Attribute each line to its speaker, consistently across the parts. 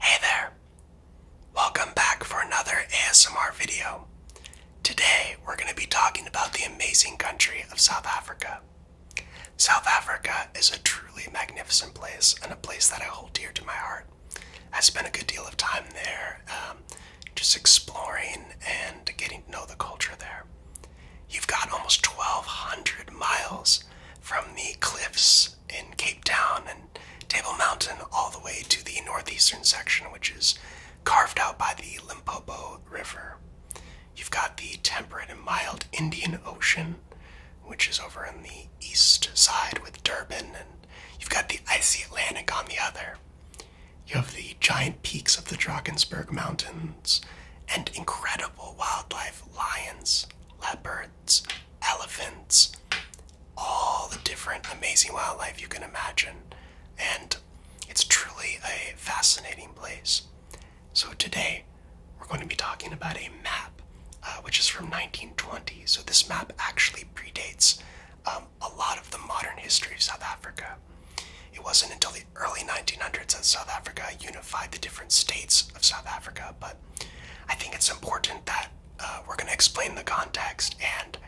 Speaker 1: Hey there! Welcome back for another ASMR video. Today we're going to be talking about the amazing country of South Africa. South Africa is a truly magnificent place and a place that I hold dear to my heart. I spent a good deal of time there um, just exploring and getting to know the culture there. You've got almost 1,200 miles from the cliffs in Cape Town and Table Mountain, all the way to the northeastern section, which is carved out by the Limpopo River. You've got the temperate and mild Indian Ocean, which is over on the east side with Durban, and you've got the icy Atlantic on the other. You have the giant peaks of the Drakensberg Mountains and incredible wildlife lions, leopards, elephants, all the different amazing wildlife you can imagine. And it's truly a fascinating place. So today, we're going to be talking about a map, uh, which is from 1920. So this map actually predates um, a lot of the modern history of South Africa. It wasn't until the early 1900s that South Africa unified the different states of South Africa, but I think it's important that uh, we're going to explain the context and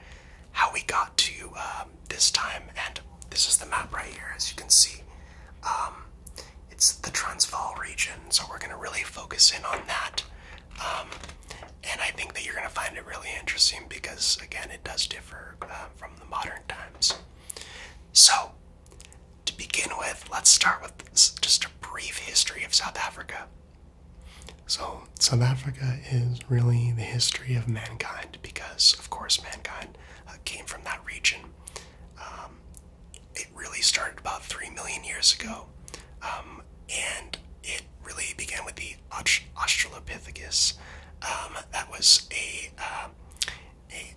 Speaker 1: how we got to um, this time. And this is the map right here, as you can see. Um, it's the Transvaal region, so we're going to really focus in on that. Um, and I think that you're going to find it really interesting because, again, it does differ uh, from the modern times. So, to begin with, let's start with just a brief history of South Africa. So, South Africa is really the history of mankind because, of course, mankind uh, came from that region. Um, it really started about three million years ago, um, and it really began with the Australopithecus. Um, that was a, uh, a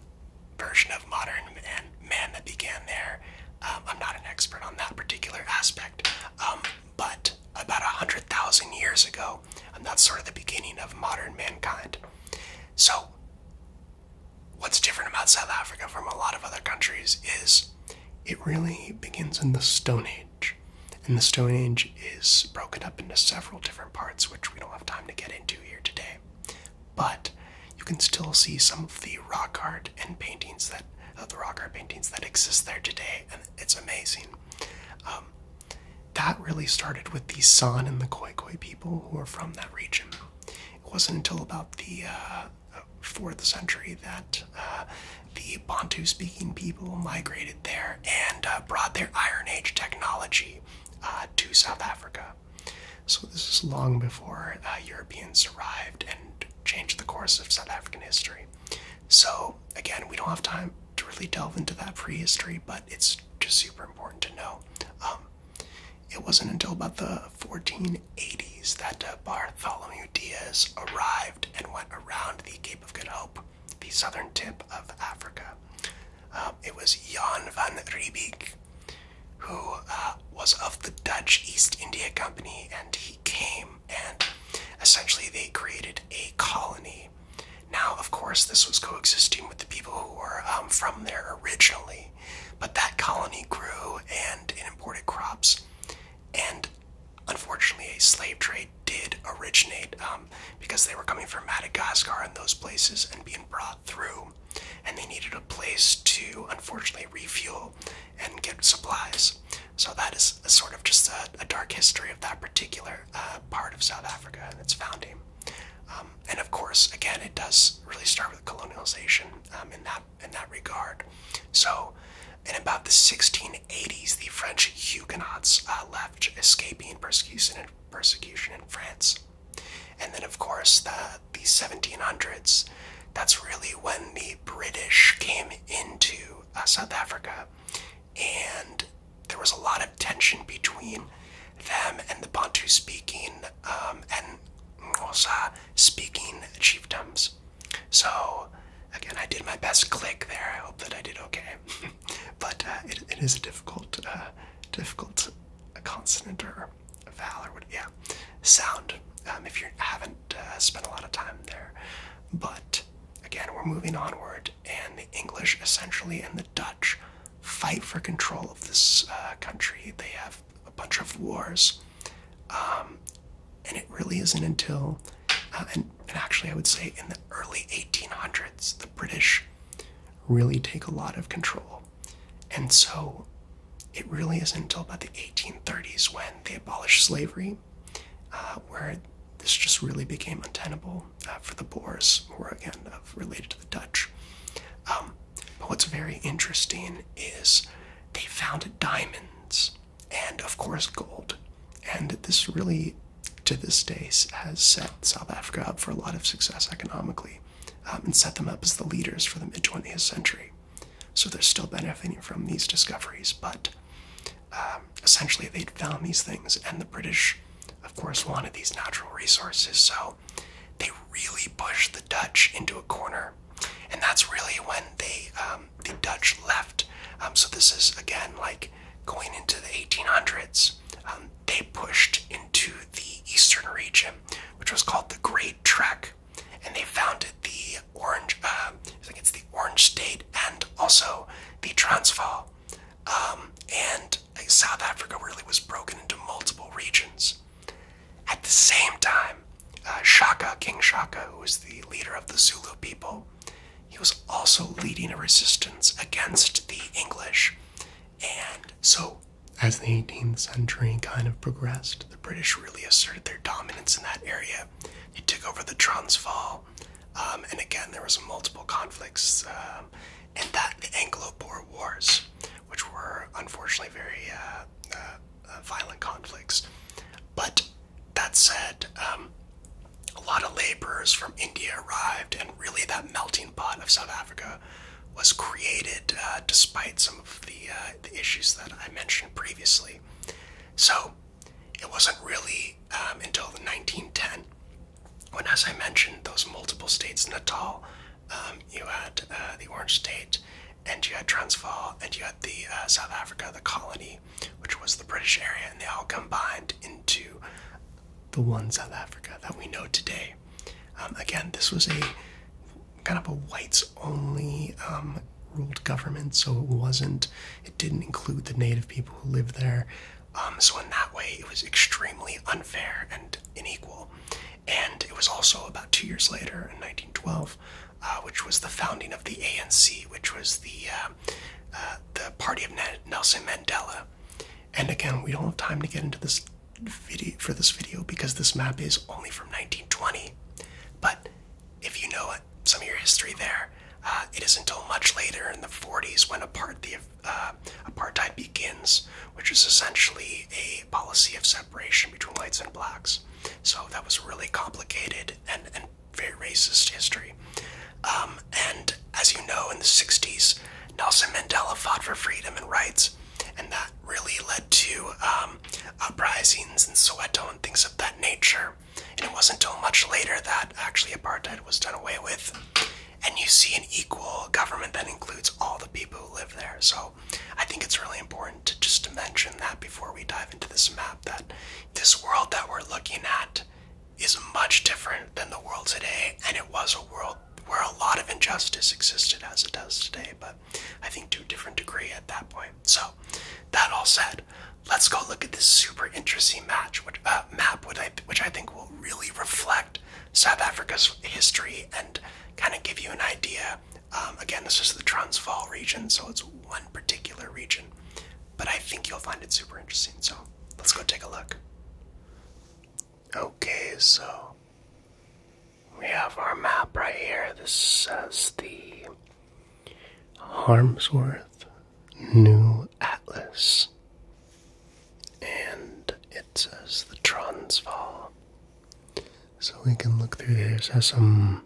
Speaker 1: version of modern man man that began there. Um, I'm not an expert on that particular aspect, um, but about 100,000 years ago, and that's sort of the beginning of modern mankind. So, what's different about South Africa from a lot of other countries is it really begins in the Stone Age. And the Stone Age is broken up into several different parts, which we don't have time to get into here today. But you can still see some of the rock art and paintings that uh, the rock art paintings that exist there today, and it's amazing. Um, that really started with the San and the Khoikhoi people who are from that region. It wasn't until about the uh, fourth century that uh, the Bantu-speaking people migrated there and brought their Iron Age technology to South Africa. So this is long before Europeans arrived and changed the course of South African history. So, again, we don't have time to really delve into that prehistory, but it's just super important to know. Um, it wasn't until about the 1480s that uh, Bartholomew Diaz arrived and went around the Cape of Good Hope, the southern tip of Africa. Um, it was Jan van Riebeek who uh, was of the Dutch East India Company, and he came and essentially they created a colony. Now, of course, this was coexisting with the people who were um, from there originally, but that colony grew and it imported crops. And unfortunately, a slave trade did originate um, because they were coming from Madagascar and those places and being brought through. And they needed a place to, unfortunately, refuel and get supplies. So that is a sort of just a, dark history of that particular uh, part of South Africa and its founding. Um, and of course, again, it does really start with colonialization um, in that in that regard. So, in about the 1680s, the French Huguenots uh, left, escaping persecution in, persecution in France. And then, of course, the the 1700s. That's really when the British came into uh, South Africa, and there was a lot of tension between them and the Bantu speaking um, and Xhosa speaking chiefdoms. So, again, I did my best click there. I hope that I did okay. but uh, it is a difficult, uh, difficult consonant or Valor would, yeah, sound. Um, if you haven't uh, spent a lot of time there, but again, we're moving onward, and the English essentially and the Dutch fight for control of this uh, country. They have a bunch of wars, um, and it really isn't until, uh, and actually, I would say in the early 1800s, the British really take a lot of control, and so it really isn't until about the 1830s when they abolished slavery, uh, where this just really became untenable uh, for the Boers, who are again uh, related to the Dutch. Um, but what's very interesting is they found diamonds and, of course, gold. And this really, to this day, has set South Africa up for a lot of success economically um, and set them up as the leaders for the mid 20th century. So they're still benefiting from these discoveries, but um, essentially they'd found these things, and the British, of course, wanted these natural resources, so they really pushed the Dutch into a corner. And that's really when they, um, the Dutch left. Um, so this is, again, like going into the 1800s. they pushed into the eastern region, which was called the Great Trek and they founded the Orange. Uh, I think it's the Orange State and also the Transvaal. Um, and South Africa really was broken into multiple regions. At the same time, uh, Shaka, King Shaka, who was the leader of the Zulu people, he was also leading a resistance against the English. And so, as the 18th century kind of progressed, the British really asserted their dominance in that area. They took over the Transvaal, um, and again there was multiple conflicts, um, and that the Anglo-Boer Wars, which were unfortunately very uh, uh, uh, violent conflicts. But that said, um, a lot of laborers from India arrived, and really that melting pot of South Africa was created despite some of the issues that I mentioned previously. So it wasn't really um, until the 1910 when, as I mentioned, those multiple states, Natal, um, you had uh, the Orange State, and you had Transvaal, and you had the uh, South Africa, the colony, which was the British area, and they all combined into the one South Africa that we know today. Um, again, this was a kind of a whites only um, ruled government, so it wasn't, it didn't include the native people who lived there. Um, so, in that way, it was extremely unfair and unequal. And it was also about two years later, in 1912, uh, which was the founding of the ANC, which was the um, uh, the party of Nelson Mandela. And again, we don't have time to get into this video for this video because this map is only from 1920. But if you know some of your history there, uh, it is until much later in the 40s when uh, apartheid begins, which is essentially a policy of separation between whites and blacks. So that was really complicated and, and very racist history. Um, and as you know, in the 60s, Nelson Mandela fought for freedom and rights, and that really led to um, um, uprisings in Soweto and things of that nature. And it wasn't until much later that actually apartheid was done away with. And you see an equal government that includes all the people who live there. So I think it's really important to just to mention that before we dive into this map that this world that we're looking at is much different than the world today, and it was a world where a lot of injustice existed as it does today. But I think to a different degree at that point. So, that all said, let's go look at this super interesting match, uh, map, which I, which I think will really reflect South Africa's history and kind of give you an idea. Um, again, this is the Transvaal region, so it's one particular region, but I think you'll find it super interesting. So, let's go take a look. Okay, so we have our map right here. This says the Harmsworth New Atlas. And it says the Transvaal. So we can look through there. It has some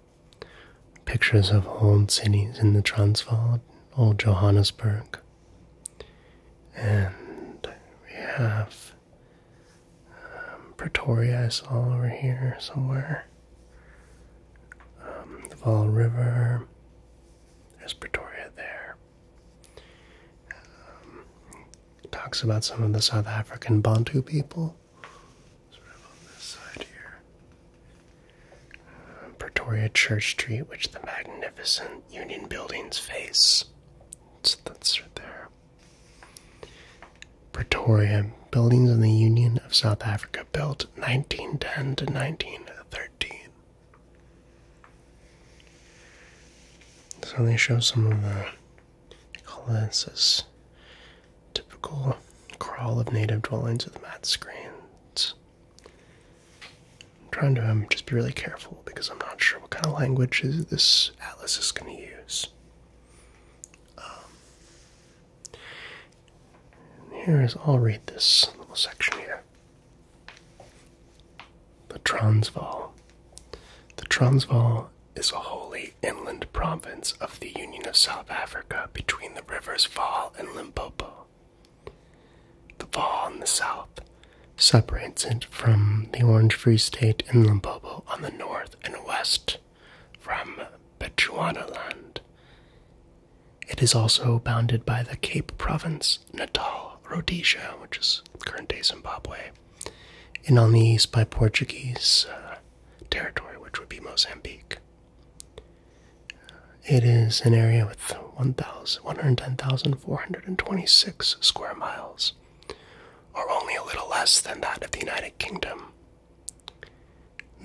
Speaker 1: pictures of old cities in the Transvaal, old Johannesburg. And we have um, Pretoria, is all over here somewhere. Um, the Vol River. There's Pretoria there. Um, talks about some of the South African Bantu people. Sort of on this side here. Uh, Pretoria Church Street, which the magnificent Union buildings face. So that's right there. Pretoria, buildings in the Union of South Africa built 1910 to 1913. So they show some of the, they typical crawl of native dwellings with mat screens. trying to um, just be really careful because I'm not sure what kind of language this atlas is going to use. Um, here is, I'll read this little section here. The Transvaal. The Transvaal is a wholly inland province of the Union of South Africa between the rivers Vaal and Limpopo. The Vaal in the south separates it from the Orange Free State and Limpopo on the north and west from land, It is also bounded by the Cape Province, Natal, Rhodesia, which is current day Zimbabwe, and on the east by Portuguese uh, territory, which would be Mozambique. Uh, it is an area with 110,426 square miles, or only a little less than that of the United Kingdom,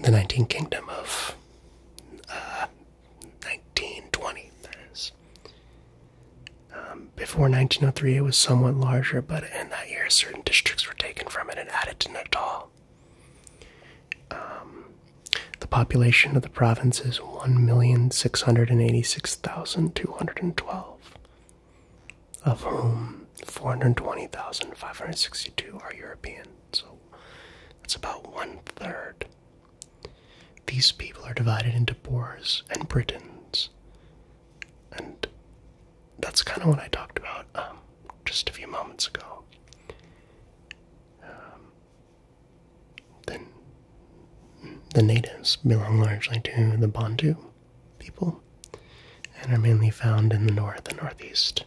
Speaker 1: the 19th Kingdom of 1920, uh, that is. Um, before 1903, it was somewhat larger, but in that year, certain districts were taken from it and added to Natal. Um, the population of the province is 1,686,212 of whom 420,562 are European. So that's about one third. These people are divided into Boers and Britons. And that's kind of what I talked about um, just a few moments ago. Um, then the natives belong largely to the Bantu people and are mainly found in the north and northeast.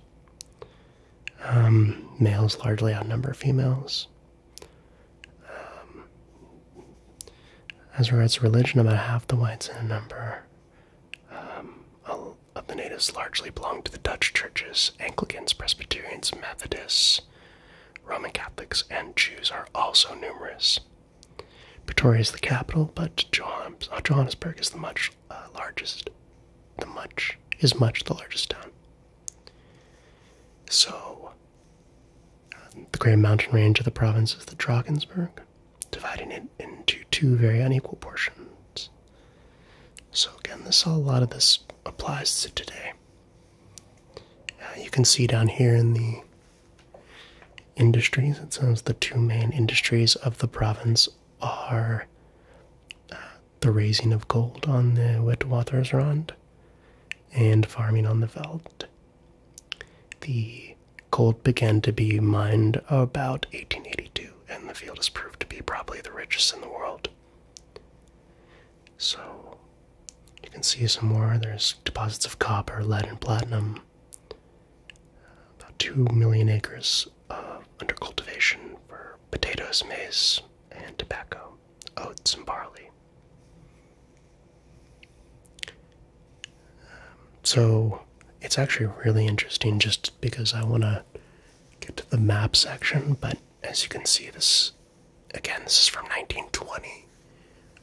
Speaker 1: Um, males largely outnumber females. Um, as regards religion, about half the whites in number um, of the natives largely belong to the Dutch churches. Anglicans, Presbyterians, Methodists, Roman Catholics, and Jews are also numerous. Pretoria is the capital, but uh, Johannesburg is the much much largest the much is much the largest town so um, the great mountain range of the province is the Drakensberg, dividing it into two very unequal portions. So again, this a lot of this applies to today. Uh, you can see down here in the industries, It's one of the two main industries of the province are uh, the raising of gold on the Witwatersrand and farming on the Veld. The gold began to be mined about 1882, and the field has proved to be probably the richest in the world. So you can see some more. There's deposits of copper, lead, and platinum. About 2 million acres uh, under cultivation for potatoes, maize, and tobacco, oats, and barley. Um, so it's actually really interesting just because I want to get to the map section, but as you can see, this again, this is from 1920.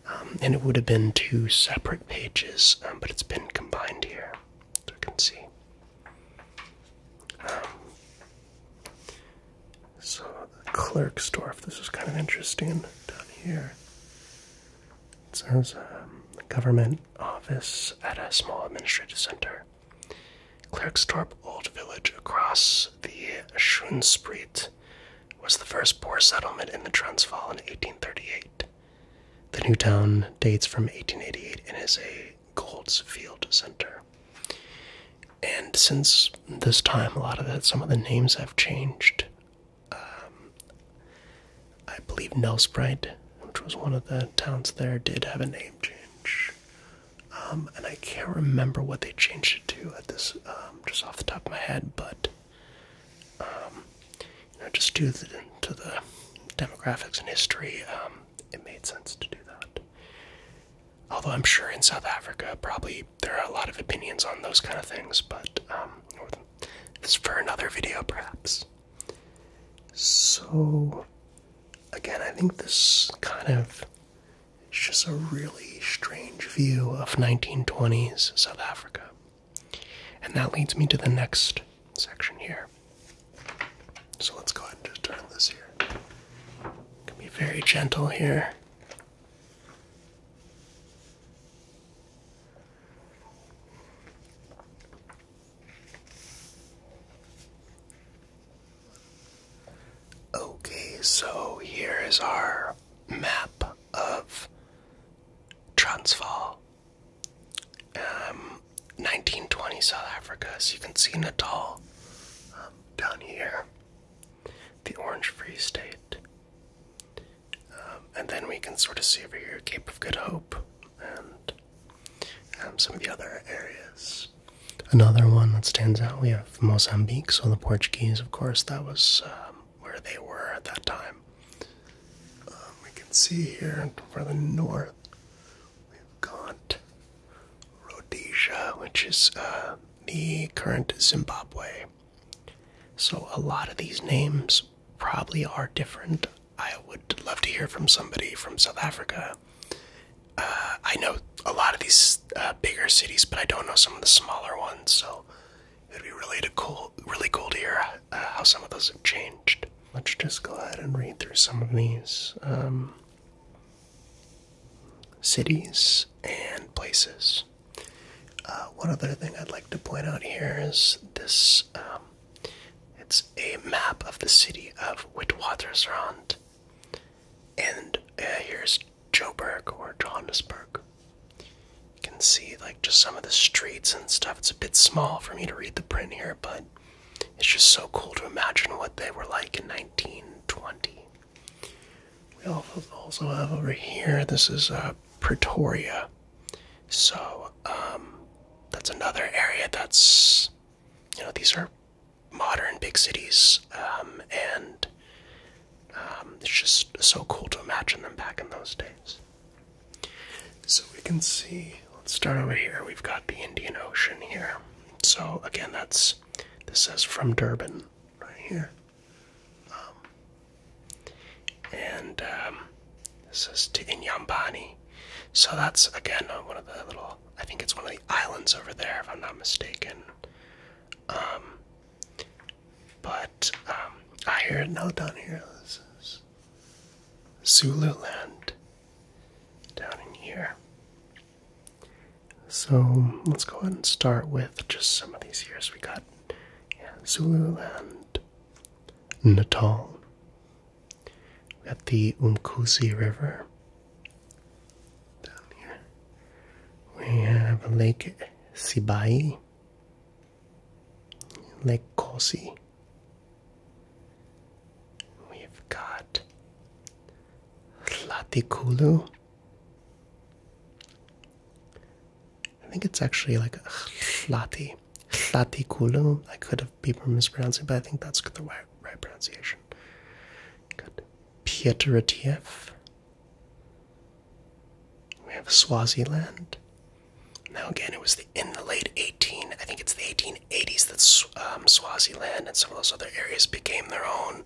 Speaker 1: Um, and it would have been two separate pages, um, but it's been combined here so I can see. Um, so the Klerksdorf, this is kind of interesting down here. It says um, government office at a small administrative center. Klerksdorp Old Village across the Schoenspriet was the first Boer settlement in the Transvaal in 1838. The new town dates from 1888 and is a Goldsfield Center. And since this time, a lot of that, some of the names have changed. Um, I believe Nelsprite, which was one of the towns there, did have a name change. Um, and I can't remember what they changed it to at this, um, just off the top of my head, but just to the, demographics and history, um, it made sense to do that. Although I'm sure in South Africa, probably there are a lot of opinions on those kind of things, but um, this for another video, perhaps. So, again, I think this kind of it's just a really strange view of 1920s South Africa. And that leads me to the next section here. So let's go ahead and just turn this here. can be very gentle here. Okay, so here is our map of Transvaal 1920 um, South Africa, so you can see Natal um, down here, the Orange Free State. Um, and then we can sort of see over here Cape of Good Hope and um, some of the other areas. Another one that stands out, we have Mozambique, so the Portuguese, of course, that was where they were at that time. we can see here for the north, We've got Rhodesia, which is uh, the current Zimbabwe. So a lot of these names probably are different. I would love to hear from somebody from South Africa. Uh, I know a lot of these uh, bigger cities, but I don't know some of the smaller ones. So it'd be really cool, really cool to hear how some of those have changed let's just go ahead and read through some of these um, cities and places. Uh, one other thing I'd like to point out here is this um, it's a map of the city of Witwatersrand. And uh, here's Joburg or Johannesburg. You can see like just some of the streets and stuff. It's a bit small for me to read the print here, but it's just so cool to imagine what they were like in 1920. We also have over here, this is uh, Pretoria. So um, that's another area that's, you know, these are modern big cities um, and um, it's just so cool to imagine them back in those days. So we can see, let's start over here. We've got the Indian Ocean here. So again, that's this says from Durban right here. Um, and um, this is to Inyambani. So that's again uh, one of the little, I think it's one of the islands over there, if I'm not mistaken. Um, but I hear it now down here. This is Zululand down in here. So let's go ahead and start with just some of these years. We got Zululand, Natal, we got the Umkusi River down here. We have Lake Sibai, Lake Kosi. We've got Hlatikulu. I think it's actually like Hlati. Hlatikulu. I could have been mispronouncing, but I think that's the right, right pronunciation. Good. Pieteritiev. We have Swaziland. Now again, it was in the late 18, I think it's the 1880s that um, Swaziland and some of those other areas became their own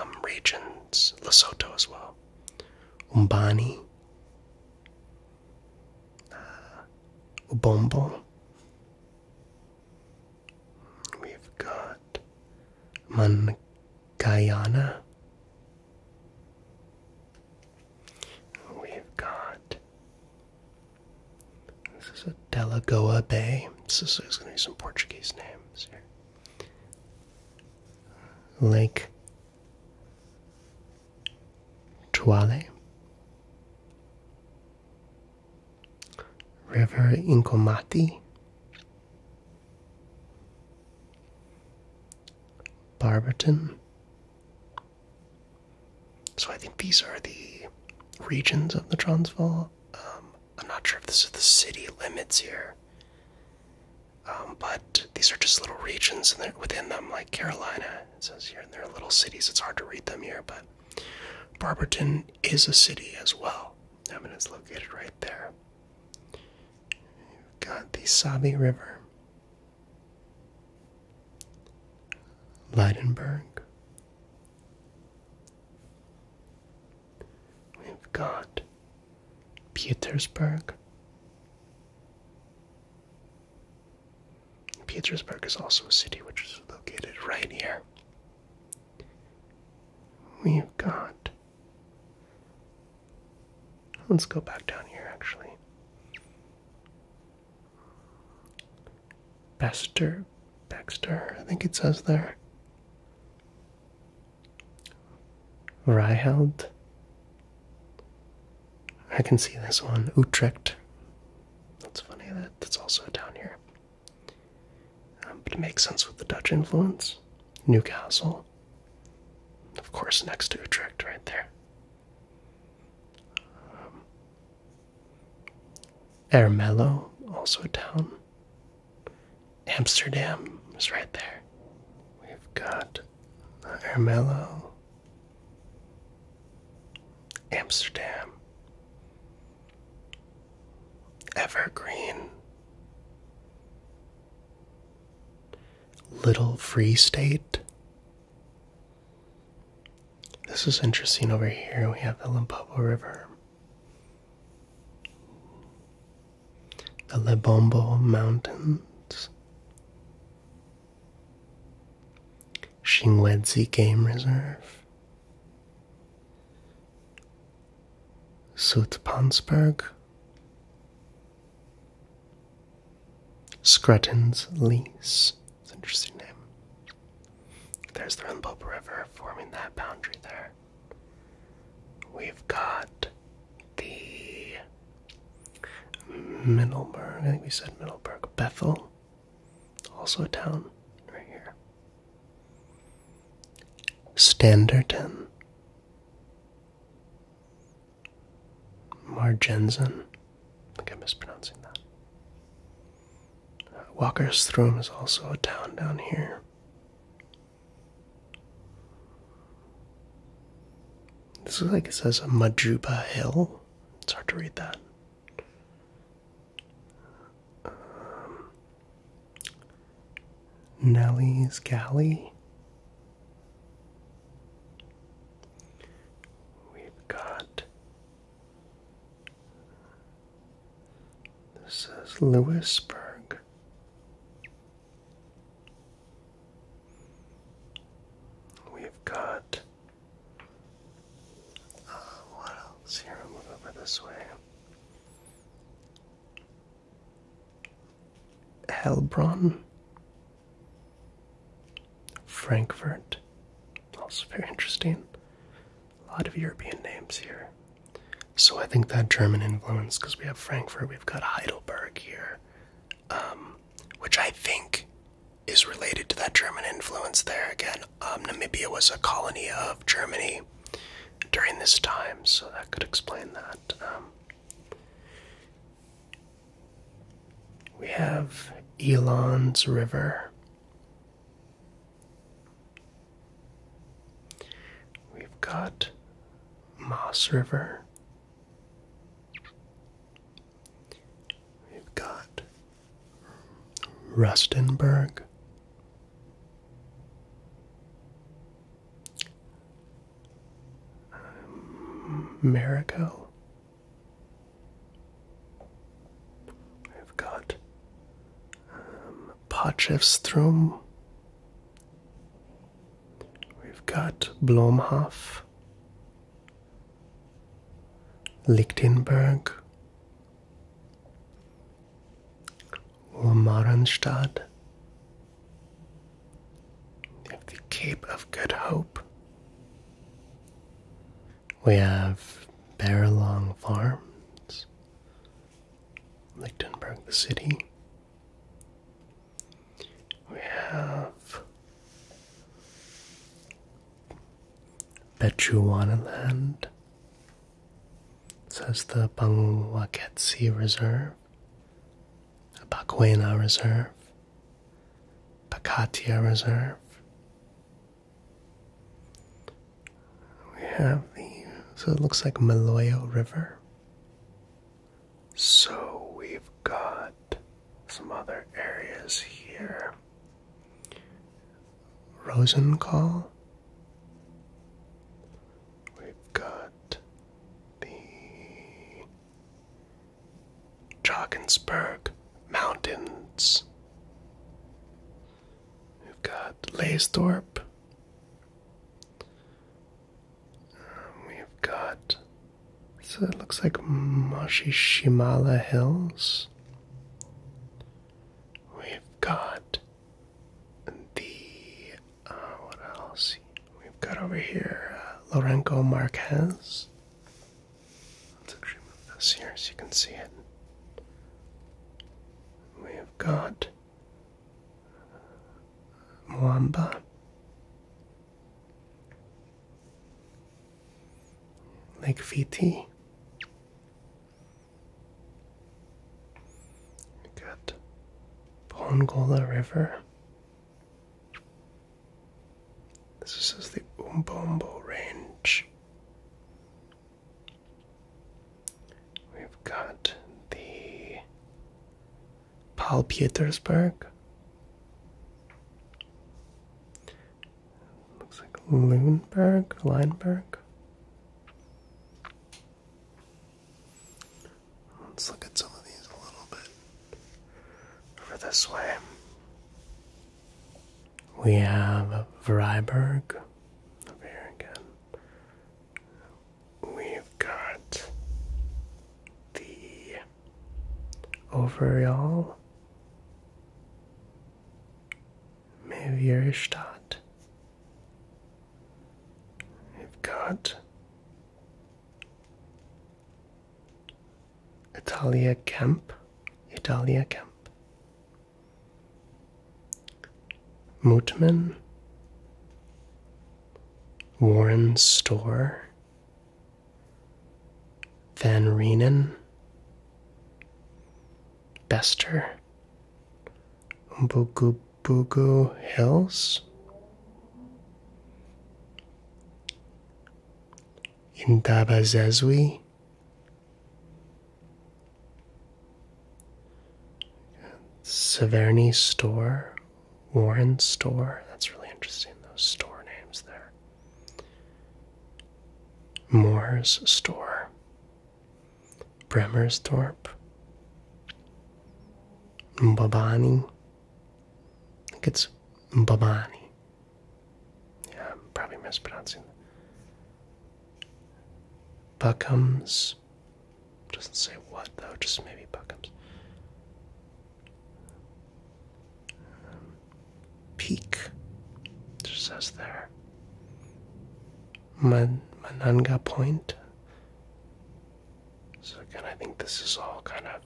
Speaker 1: um, regions. Lesotho as well. Umbani. Uh, Ubombo. We've got Mankayana. We've got this is a Delagoa Bay. This is going to be some Portuguese names here. Lake Tuale. River Incomati. Barberton. So I think these are the regions of the Transvaal. Um, I'm not sure if this is the city limits here, um, but these are just little regions and within them, like Carolina, it says here, and there are little cities. It's hard to read them here, but Barberton is a city as well. and it's located right there. You've got the Sabi River. Leidenberg. We've got Petersburg. Petersburg is also a city which is located right here. We've got. Let's go back down here actually. Bester, Bester, I think it says there. Ryheld. I can see this one. Utrecht. That's funny. That that's also down here. Um, but it makes sense with the Dutch influence. Newcastle. Of course, next to Utrecht, right there. Um, Ermelo, also a town. Amsterdam is right there. We've got Ermelo, Amsterdam, Evergreen, Little Free State, this is interesting over here. We have the Limpopo River, the Lebombo Mountains, Shingwedzi Game Reserve, Soutpansberg, Scruttons Lease. It's an interesting name. There's the Rimboba River forming that boundary there. We've got the Middleburg, I think we said Middleburg, Bethel, also a town right here. Standerton, Margensen, I think I'm mispronouncing that. Uh, Walker's Walkerstrom is also a town down here. This is like it says Majuba Hill. It's hard to read that. Um, Nellie's Galley. We've got this is Lewisburg. We've got uh, what else here? move over this way. Helbron. Frankfurt. Also very interesting. A lot of European names here. So I think that German influence, because we have Frankfurt, we've got Heidelberg here, um, which I think is related to that German influence there. Again, um, Namibia was a colony of Germany during this time, so that could explain that. Um, we have Elon's River. We've got Moss River. We've got Rustenburg. Um, Marico, um, We've got um, We've got Blomhoff, Lichtenberg, Ulmarenstadt. We have the Cape of Good Hope. We have Barrelong Farms, Lichtenberg, the city. We have Bechuana Land. Says the Bangwaketsi Reserve, Bakwena Reserve, Pakatia Reserve, we have the so it looks like Maloyo River. So we've got some other areas here. Rosenkohl. We've got the Drakensberg Mountains. We've got Laysthorpe. Um, we've got, so it looks like Mashishimala Hills. We've got the, uh, what else? We've got over here uh, Lorenco Marquez. Let's actually move this here so you can see it. We have got Mwamba. Lake Viti. We got Pongola River. This is the Umbombo Range. We've got the Paul Petersburg. Looks like Lundberg, Lineberg. Let's look at some of these a little bit over this way. We have Freiburg over here again. We've got the overall Mevierstadt. We've got Italia Camp, Italia Camp. Mutman, Warren Store, Van Reenen, Bester, Umbugubugu Hills, Indaba Indabazezwi, Severny Store, Warren Store. That's really interesting, those store names there. Moore's Store, Bremersdorp, Mbabani. I think it's Mbabani. Yeah, probably mispronouncing. Buckums. Doesn't say what though, just maybe Buckums. Um, peak. Just says there. Man Mananga Point. So again, I think this is all kind of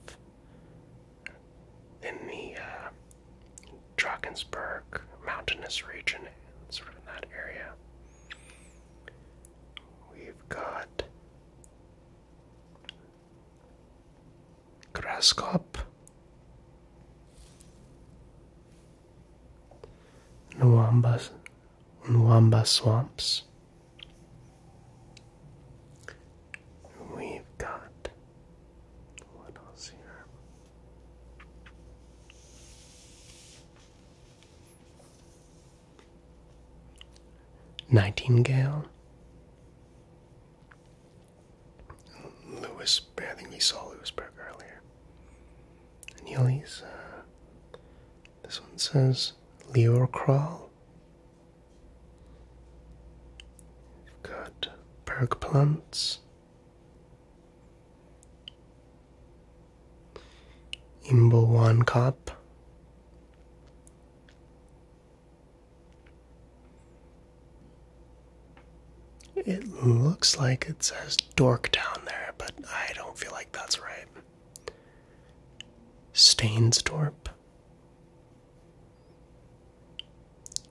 Speaker 1: in the uh, Drakensberg mountainous region, sort of in that area. We've got Graskop, Nwamba, Nwamba swamps. We've got what else here? Nightingale. Lewis, I think we saw Lewisberg earlier. And uh, this one says Leor Crawl. We've got Berg Plants. Imbo One Cup. It looks like it says Dork down there, but I don't feel like that's right. Stainsdorp.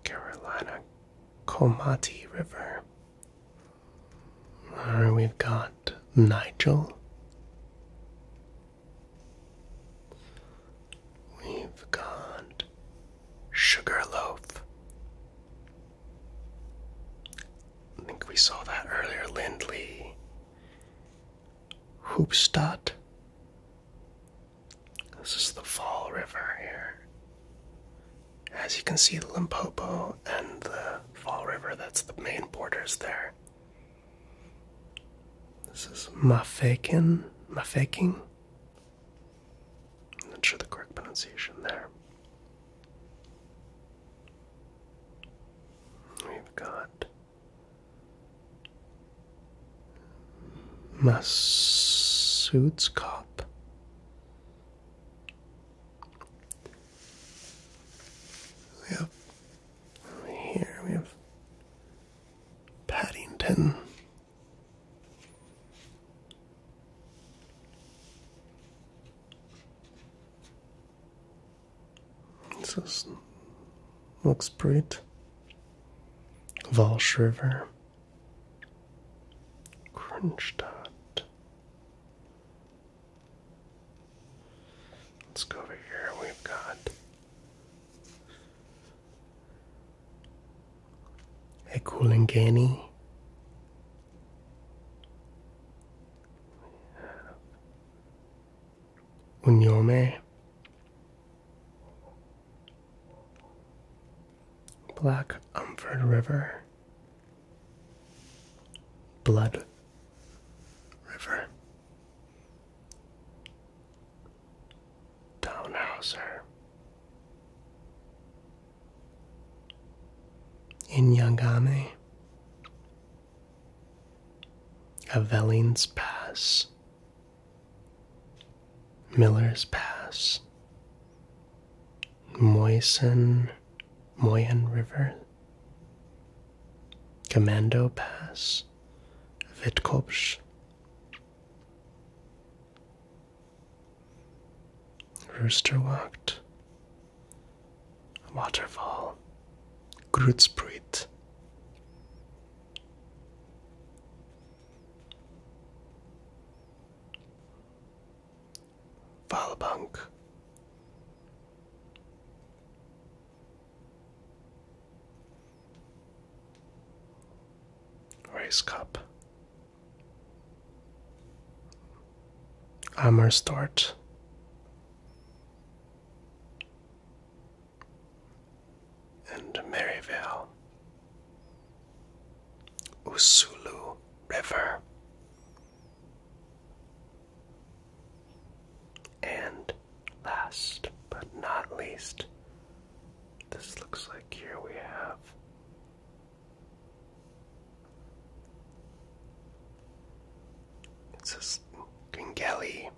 Speaker 1: Carolina Comati River. we've got Nigel. We've got Sugarloaf. I think we saw that earlier. Lindley. Hoopstadt. This is the Fall River here. As you can see, the Limpopo and the Fall River, that's the main borders there. This is Mafeking. Mafeking? I'm not sure the correct pronunciation there. We've got Massoud's Cop. We have here we have Paddington. This looks great. Walsh River. Crunch dot. Let's go over here. We've got a Kulingani. Unyome. Black Umford River, Blood River, Townhouser, Inyagami, Avellines Pass. Miller's Pass, Moisen, Moyen River, Commando Pass, Witkopsch, Roosterwacht, Waterfall, Grootspreit. Valbank. Race Cup. Amerstort. And Maryvale. Usulu River, and last but not least, this looks like here we have. It says Gengeli.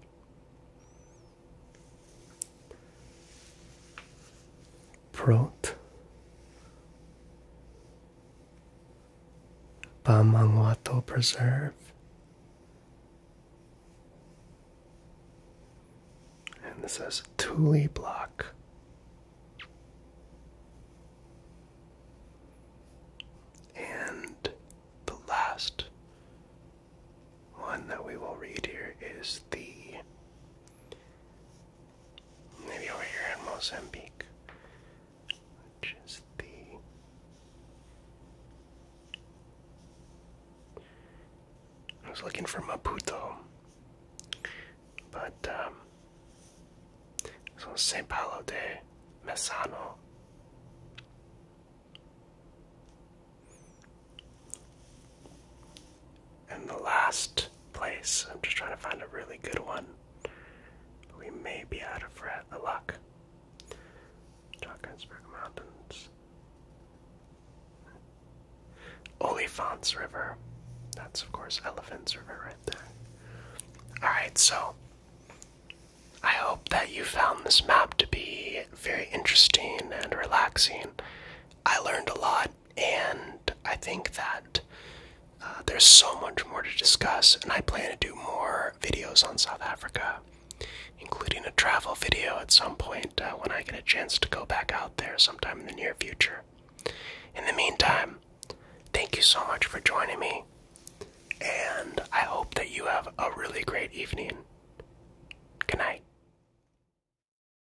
Speaker 1: Prot Bamangwato Preserve and this is Tuli Block. And the last one that we will read here is the Maybe over here in Mozambique, which is the I was looking for Maputo, but um, so São Paulo de Messano. And the last place, I'm just trying to find a really good one. We may be out of red, uh, luck. Mountains. Oliphants River. That's, of course, Elephants River right there. Alright, so I hope that you found this map to be very interesting and relaxing. I learned a lot and I think that uh, there's so much more to discuss, and I plan to do more videos on South Africa, including a travel video at some point uh, when I get a chance to go back out there sometime in the near future. In the meantime, thank you so much for joining me, and I hope that you have a really great evening. Good night.